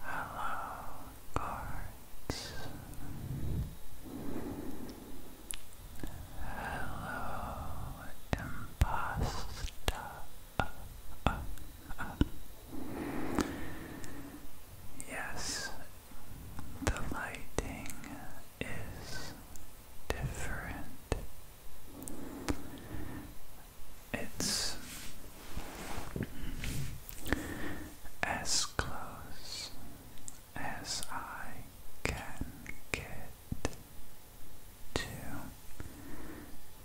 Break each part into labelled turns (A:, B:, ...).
A: Hello, cards. Hello, impasta. Yes, the lighting is different. It's as close as I can get to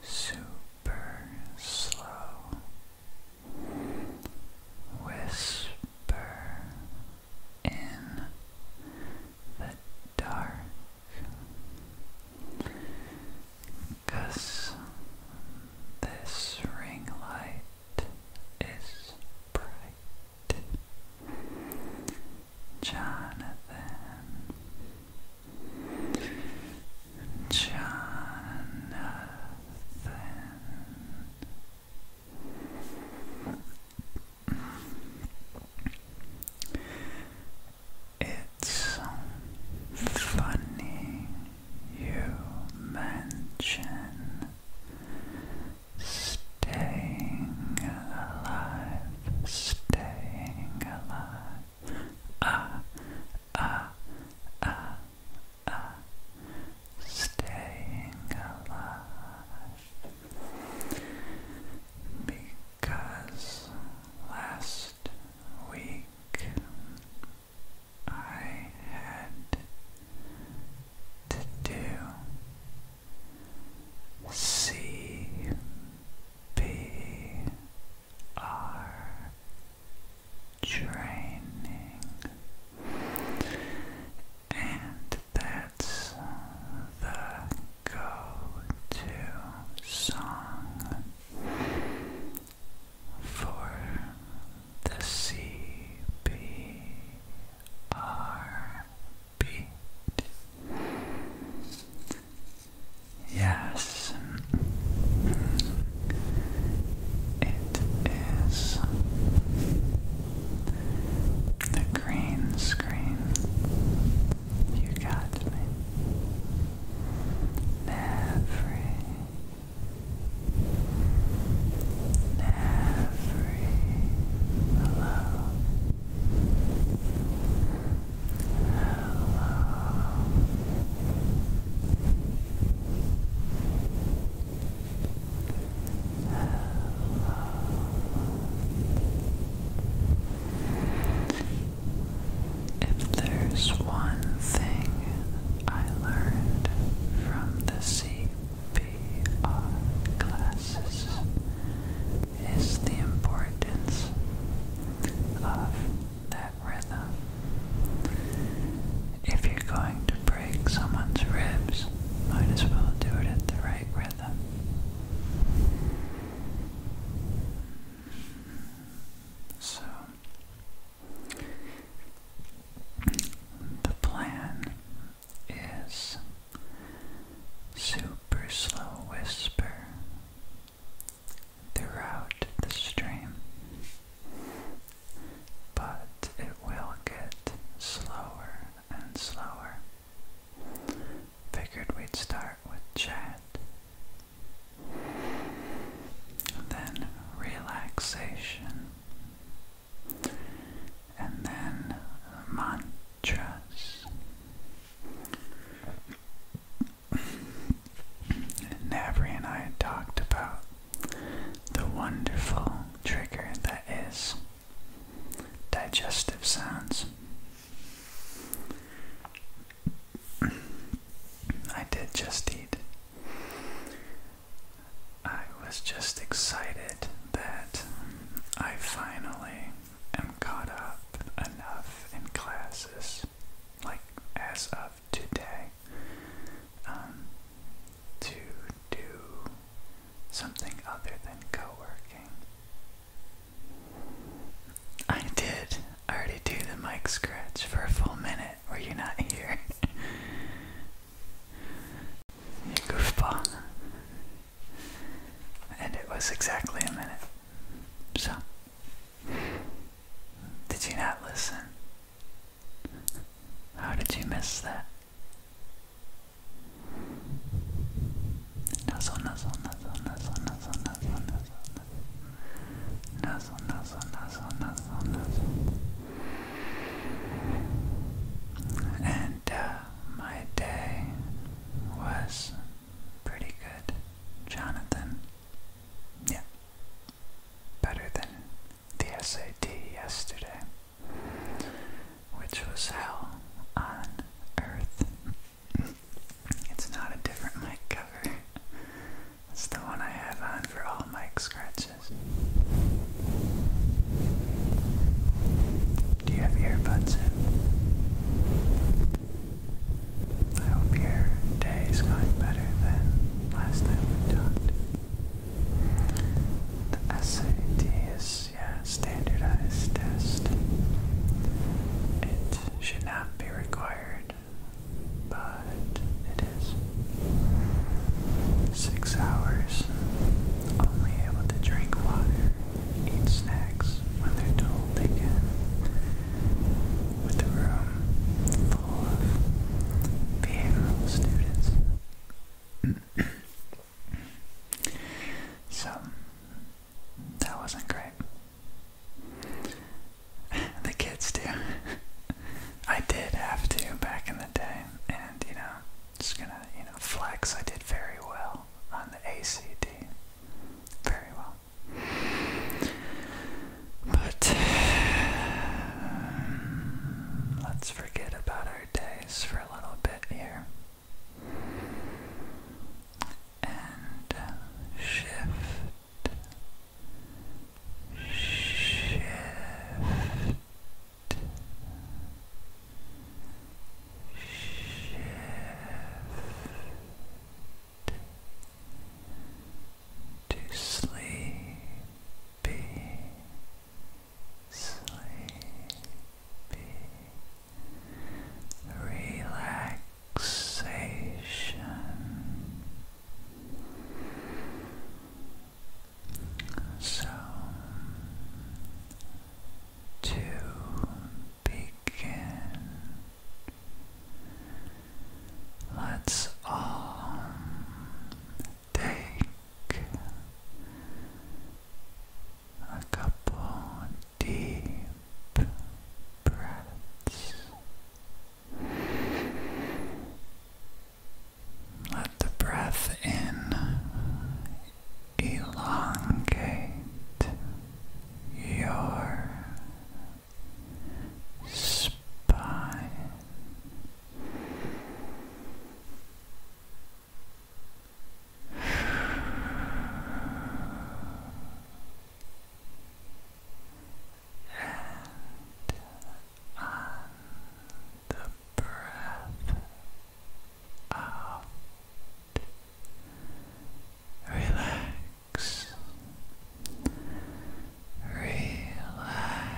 A: super slow whisper in the dark because this ring light is bright. Jonathan, Jonathan. It's funny you mention staying alive, staying alive. Ah, ah, ah, ah, staying alive. Ah, ah, ah. Because last week I had to do C B R training and that's the go to song for the CPR Yes, it is the green screen. You got me. Every every hello, if there's one thing I learned from the CPR classes is the importance of that rhythm. If you're going to break someone's ribs, might as well do it at the right rhythm. So, the plan is super slow whisper throughout the stream, but it will get slower and slower. Figured we'd start with chat then relaxation, and then mantras. Navri and I had talked about the wonderful trigger that is digestive sounds. I did just eat I was just excited that I finally am caught up enough in classes, like as of today, um, to do something other than co working. I did. I already do the mic scratch for a full minute minute were you not here? goofball. And it was exactly a minute. So, did you not listen? How did you miss that? nuzzle, nuzzle, nuzzle, nuzzle, nuzzle. And uh, my day was pretty good, Jonathan. Yeah, better than the SAT yesterday, which was hell on earth. it's not a different mic cover. That's the one I have on for all mic scratches. Do you have earbuds I hope your day is going better than last time we talked. The SAT is, yeah, standardized test. It should not be required but it is six hours only able to drink water, eat snacks when they're told they can, with the room full of behavioral students. so, that wasn't great. the kids do. I did have to back in the day, and you know, just gonna you know flex. I did very well on the ACD, very well. But let's forget about our days for a little bit here and uh, shift shift. Shift to sleepy, sleepy relaxation. So, to begin, let's all take a couple deep breaths. Let the breath in elongate your spine and the breath out. Relax. Relax. Relax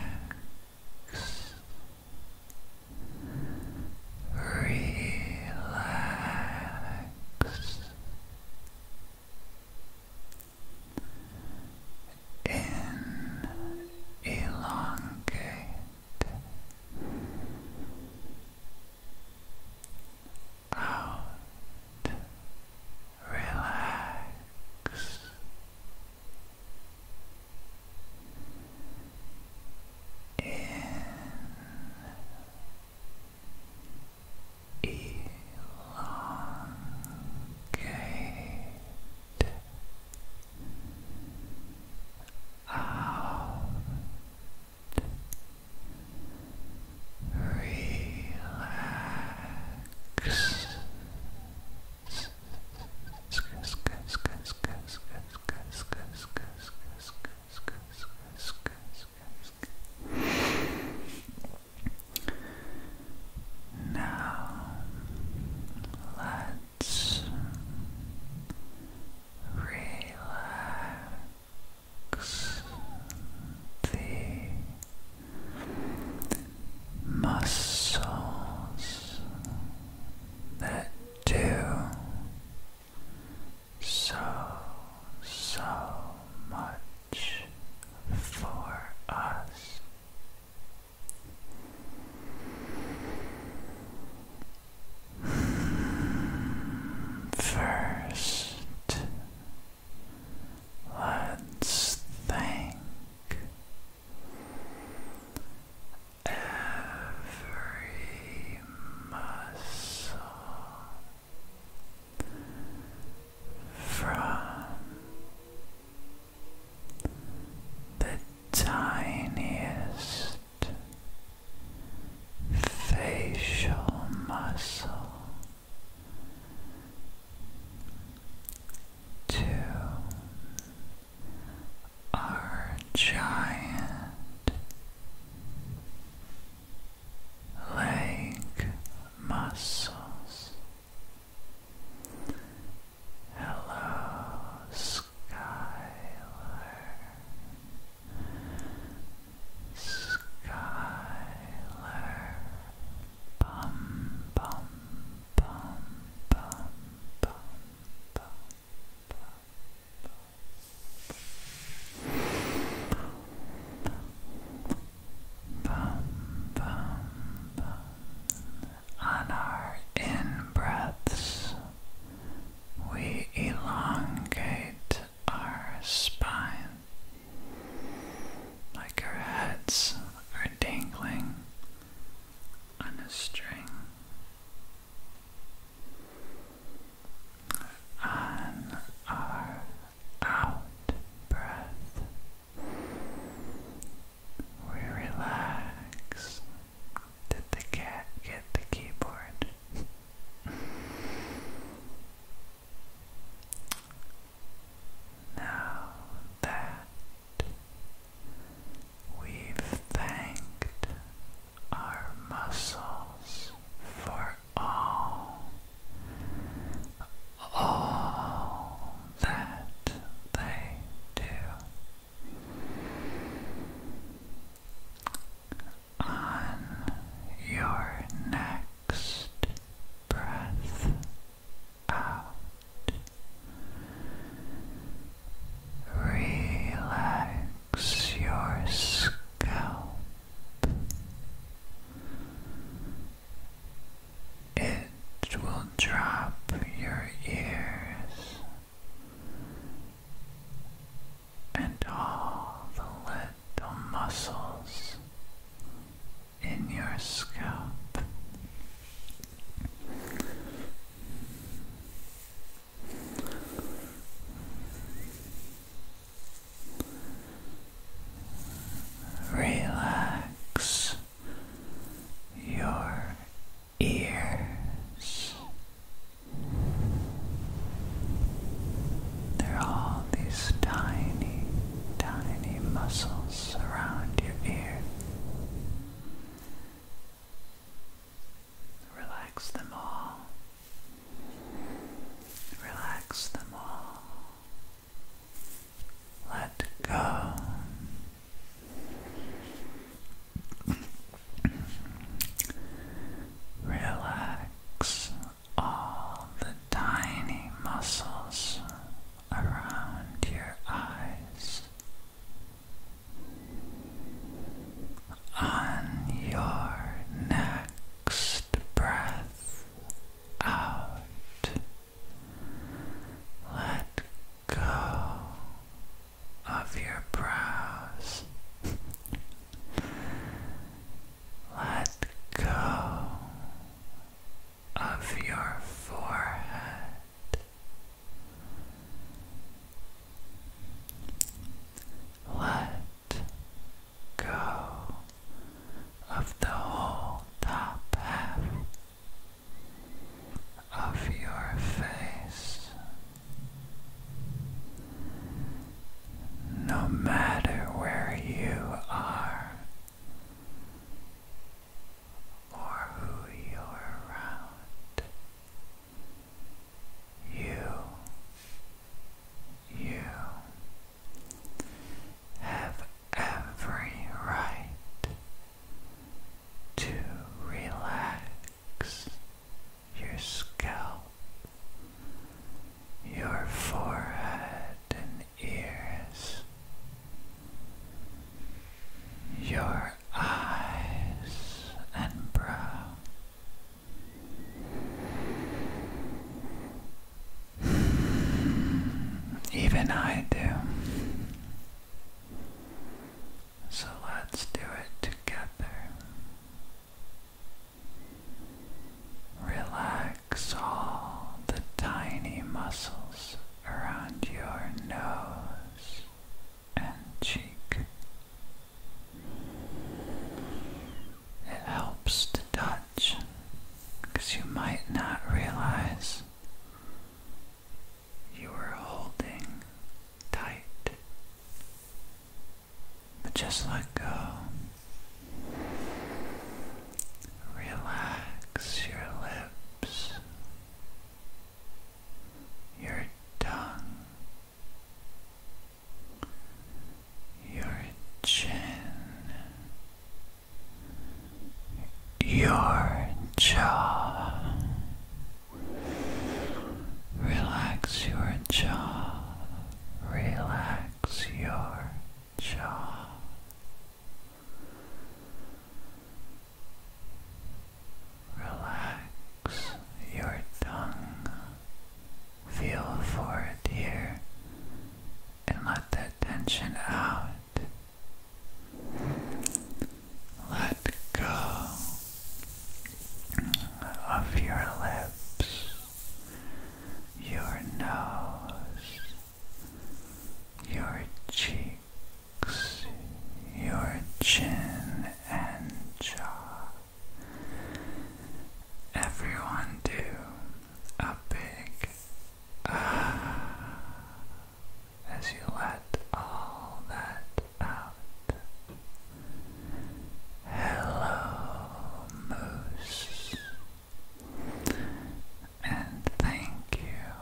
A: in elongate out relax in elongate out, relax. Now let's relax the muscles that do so, so much for us. First, let's think. Every muscle from the tiniest facial muscle to our giant leg muscles Hello, Skylar. Skylar. bum, bum, bum, bum, bum, bum, bum, bum, bum. On our in breaths, we elongate our spine like our heads are dangling on a string. On our out breath, we relax. Did the cat get the keyboard? now that we've thanked our muscles for all all that they do. On your next breath out, relax your scalp. It will drop your ears and all the little muscles in your scalp. Relax your ears. There are all these tiny, tiny muscles around your ear. Relax them all. Relax them all. Let go. Relax all the tiny muscles around your eyes, on your next breath out. Let go of your brows. Let go of your forehead. Let go of the whole top half of your face. No matter where you are or who you're around, you, you have every right to relax your scalp, your forehead and ears, your eyes and brow. Even I do. So let's do it together. Relax all the tiny muscles around your nose and cheek. It helps to touch because you might not realize you were holding tight. But just let go. Relax your lips, your tongue, your chin, your jaw. Relax your jaw. Relax your jaw. Relax your tongue. Feel for it here and let that tension out. Let go of your lips, your nose, your cheeks, your chin and jaw. Everyone do a big ah, as you let all that out. Hello, Moose. And thank you,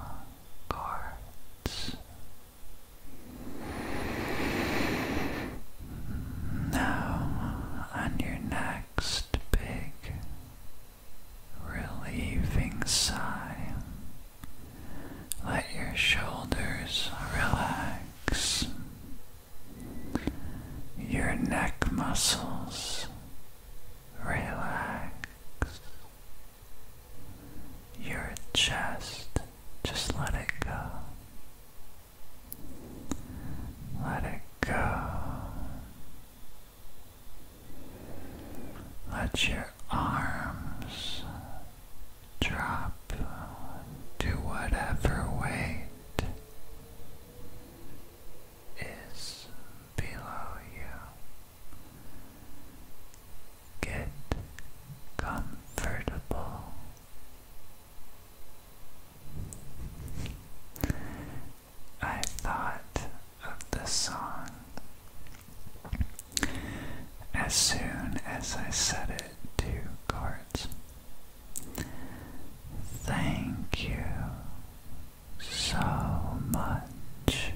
A: cards. Now, on your next big, relieving sigh, let your shoulders relax, your neck muscles relax, your chest, just let it go. Let it go. Let your arms drop Do whatever weight is below you. Get comfortable. I thought of the song. As soon as I set it to cards. Thank you so much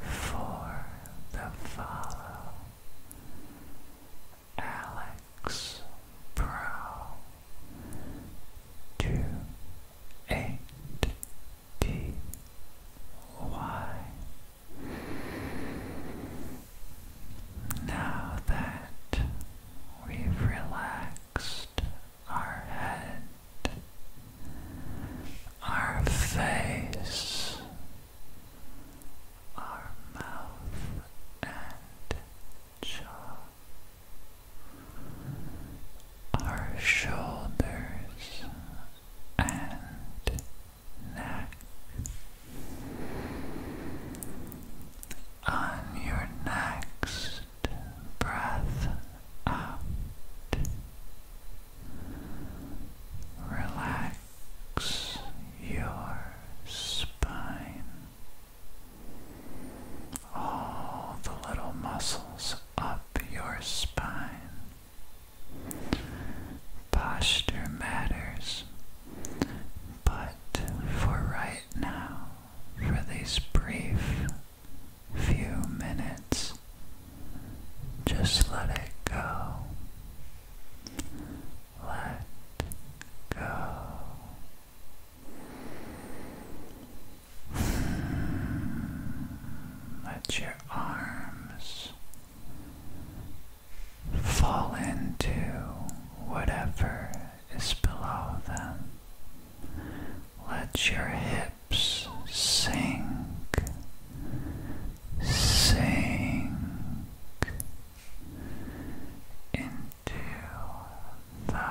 A: for the follow, Alex Pro. Two eight T Y. Now that we've relaxed our head, our face, our mouth and jaw, our shoulders and neck. On your next breath out, relax your spine. All the little muscles up your spine Posture matters, but for right now, for these brief few minutes, just let it go. Let go. Hmm. Let your arms fall into whatever is below them. Let your hips sink, sink into the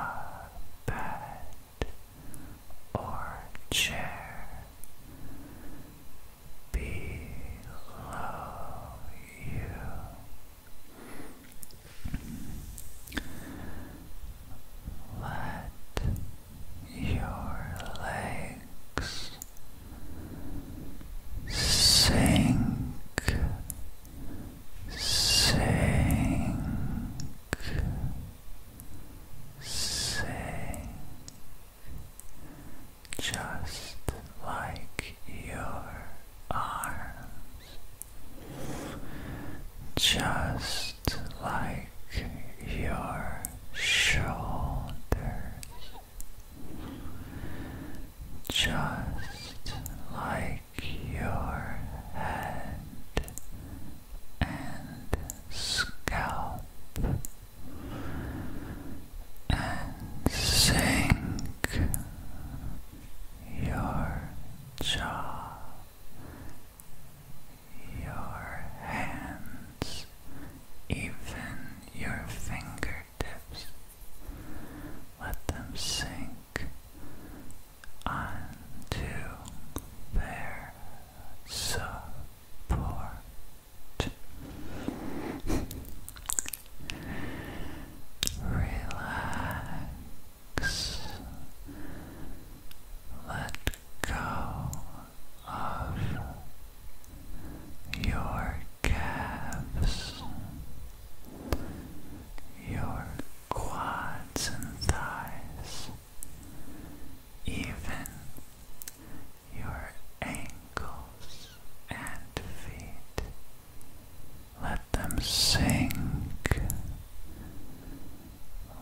A: bed or chair below you. Let your legs sink, sink sing just like your arms, just like your shoulders, just like your head and scalp and sink your jaw, your hands, even your fingertips. Let them sink onto their soft support. Relax. Let go of your calves, your quads and thighs, even your ankles and feet. Let them sink.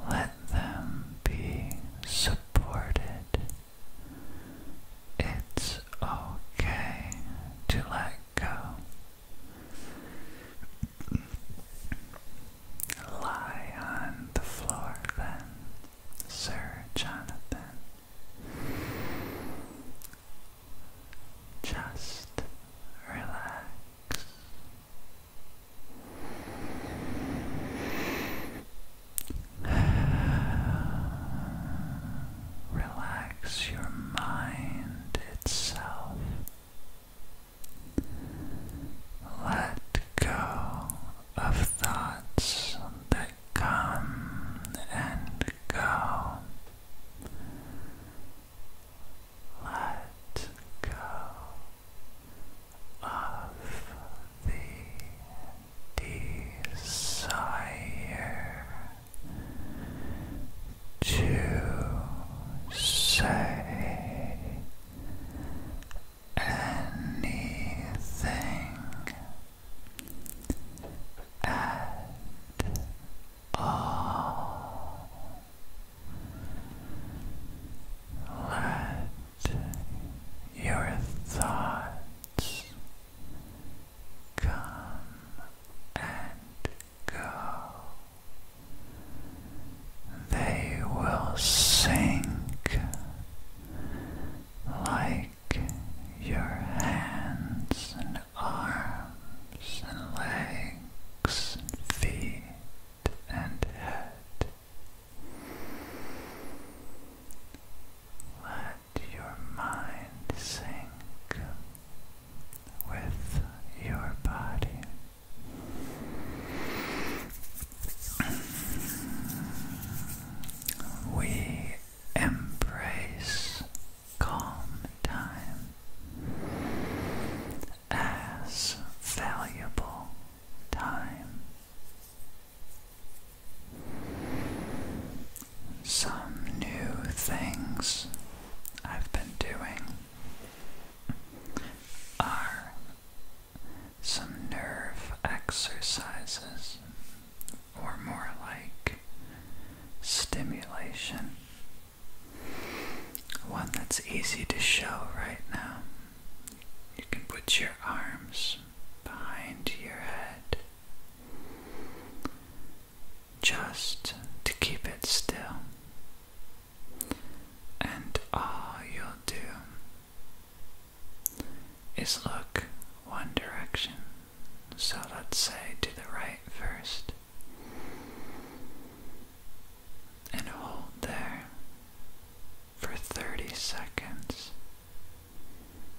A: Let them be supported. It's okay to let go. Lie on the floor then. Sir Jonathan. Just relax. Relax your mind itself. Let go of thoughts that come and go. Let go of the desire to say anything at all. Let your thoughts come and go. They will sink like your hands and arms and legs and feet and head. Let your mind sink with your body. We embrace calm time as valuable time. Some new things I've been doing are some nerve exercises, or more like stimulation. One that's easy to show right now. You can put your arms behind your head just to keep it still. And all you'll do is look one direction. So let's say to the right first. And hold there for 30 seconds.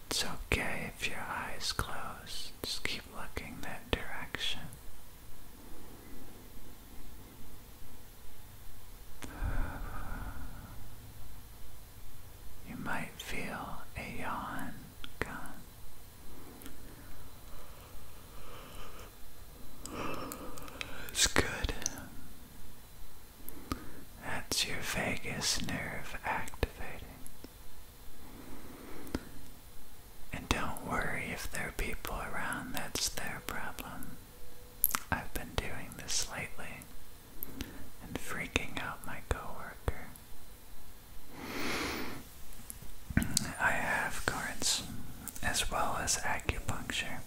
A: It's okay if your eyes close, just keep looking that direction. You might feel a yawn come. It's good. That's your vagus nerve activating. And don't worry if there are people around, that's their problem. I've been doing this lately and freaking out my coworker. I have cards as well as acupuncture.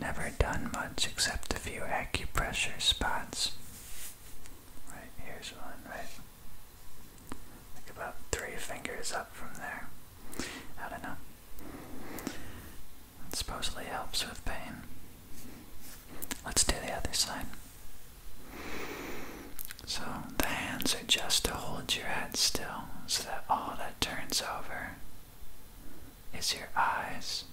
A: Never done much except a few acupressure spots. Right, here's one, right? Like about three fingers up from there. I don't know supposedly helps with pain. Let's do the other side. So the hands are just to hold your head still so that all that turns over is your eyes.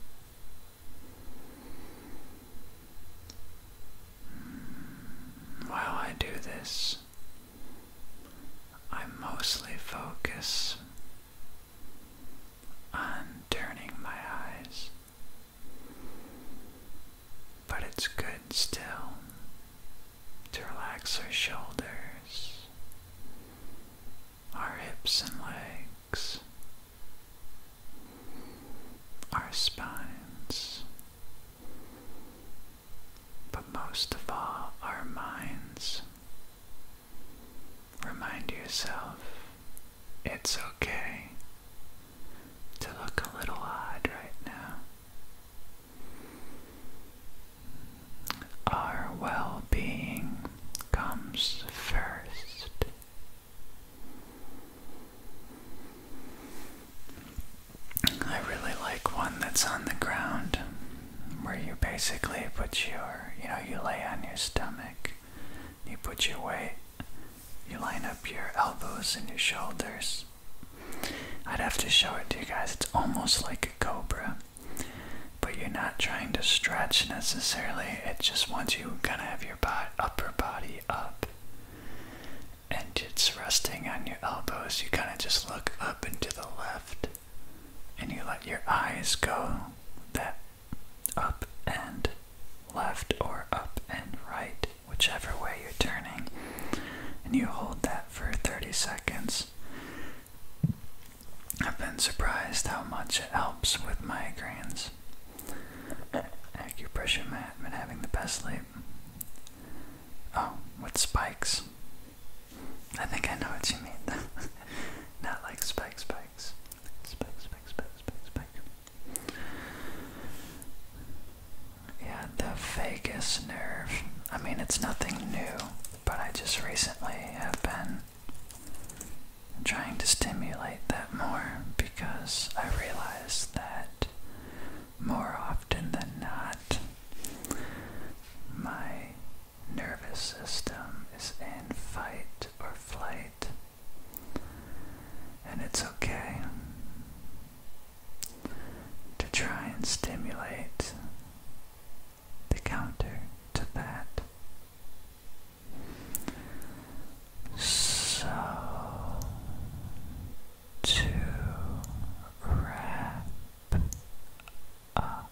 A: Hmm. While I do this, I mostly focus on turning my eyes. But it's good still to relax our shoulders, our hips and legs, our spines, but most of all, our minds. Remind yourself it's okay to look a little odd right now. Our well being comes first. I really like one that's on the ground where you basically put your, you know, you lay on your stomach you put your weight, you line up your elbows and your shoulders. I'd have to show it to you guys. It's almost like a cobra, but you're not trying to stretch necessarily. It just wants you kind of have your upper body up, and it's resting on your elbows. You kind of just look up and to the left, and you let your eyes go that up and left or up and right, whichever way you're turning, and you hold that for 30 seconds. I've been surprised how much it helps with migraines. Acupressure mat, been having the best sleep. Oh, with spikes. I think I know what you mean. Not like spikes, spikes. Yeah, the vagus nerve. I mean, it's nothing new, but I just recently have been trying to stimulate that more because I realized that more often than not, my nervous system is in fight or flight. And it's okay to try and stimulate the counter to that. So, to wrap up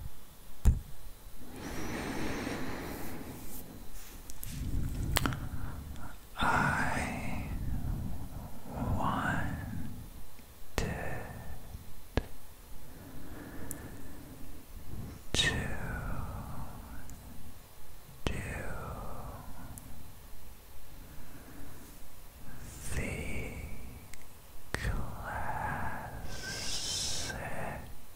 A: I wanted to do the classic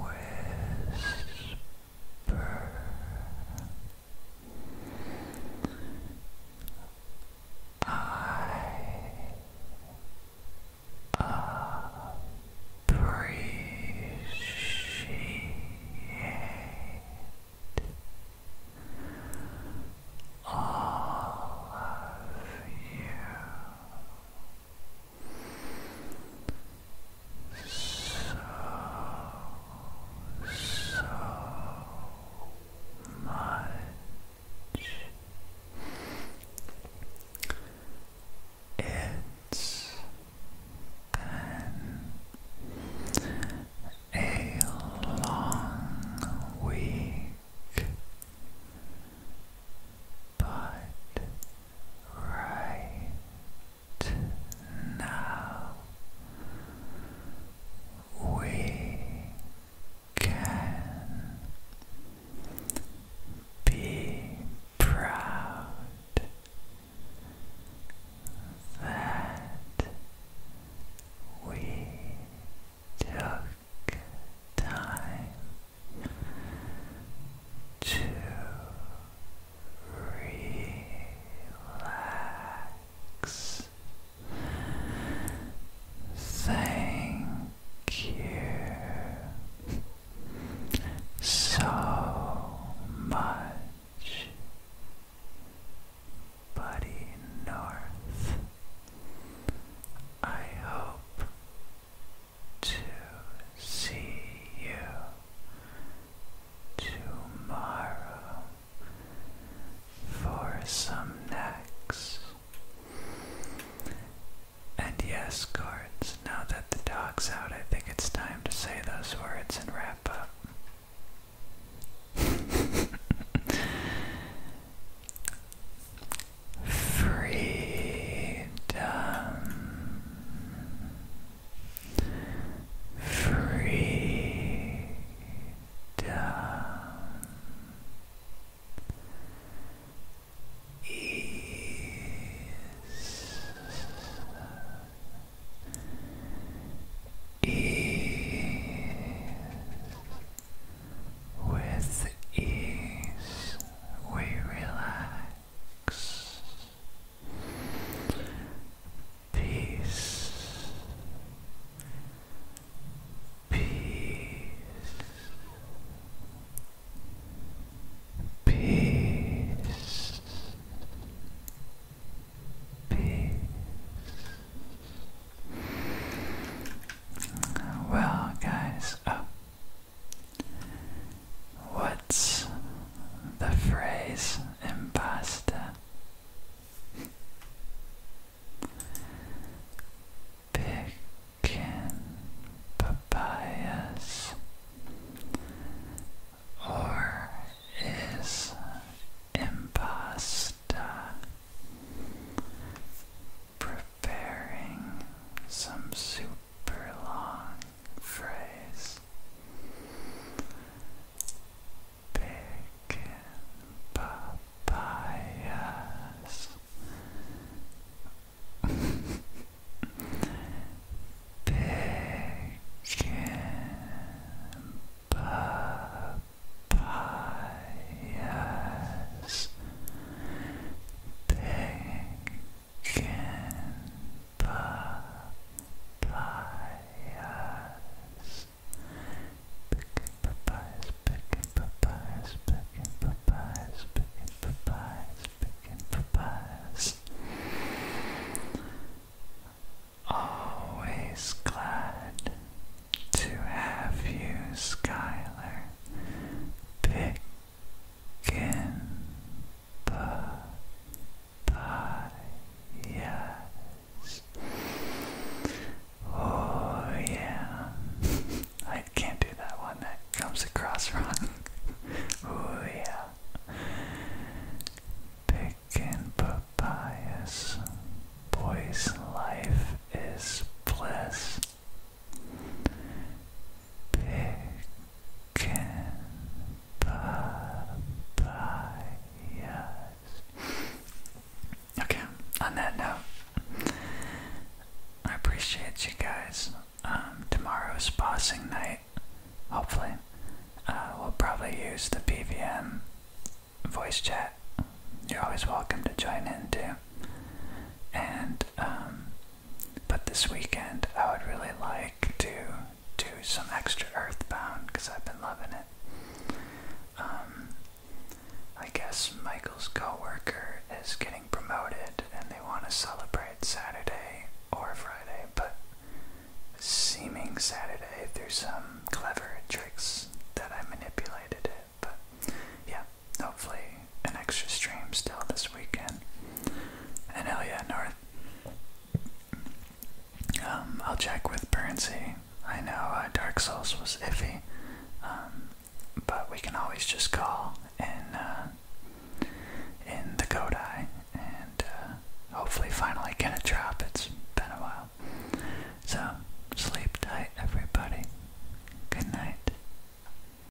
A: whisper I appreciate all of you so, so much. It's been a long week. But right now we can be proud that we took time to relax. Thank you so much, Buddy North. I hope to see you tomorrow for some next. And yes, cards, now that the dog's out, I think it's time to say those words and wrap up. freedom, freedom. Ease, ease with ease, we relax. Peace. Peace. Peace. Peace. Well, guys, up What's the phrase impasta? Picking papayas, or is impasta? preparing some super long phrase. Big papayas. Big papayas. Big papayas. Picking papayas, picking papayas, picking papayas, picking papayas, picking papayas. Always glad to have you, Skylar. Pick Yes. Oh yeah. I can't do that one. That comes across wrong. oh yeah. Picking papayas. Boy's life is bliss. Okay, on that note, I appreciate you guys. Um, tomorrow's bossing night, hopefully. Uh, we'll probably use the PVM voice chat. You're always welcome to join in too. And um, but this weekend, I would really like to do some extra Earthbound because I've been loving it. Um, I guess Michael's coworker is getting promoted, and they want to celebrate Saturday or Friday, but seeming Saturday through some clever tricks that I manipulated it. But yeah, Hopefully, an extra stream still this weekend. And hell yeah, North. Um, I'll check with Burnsie. I know uh, Dark Souls was iffy, um, but we can always just call in uh, in the Kodai and uh, hopefully finally get a drop. It's been a while. So sleep tight, everybody. Good night.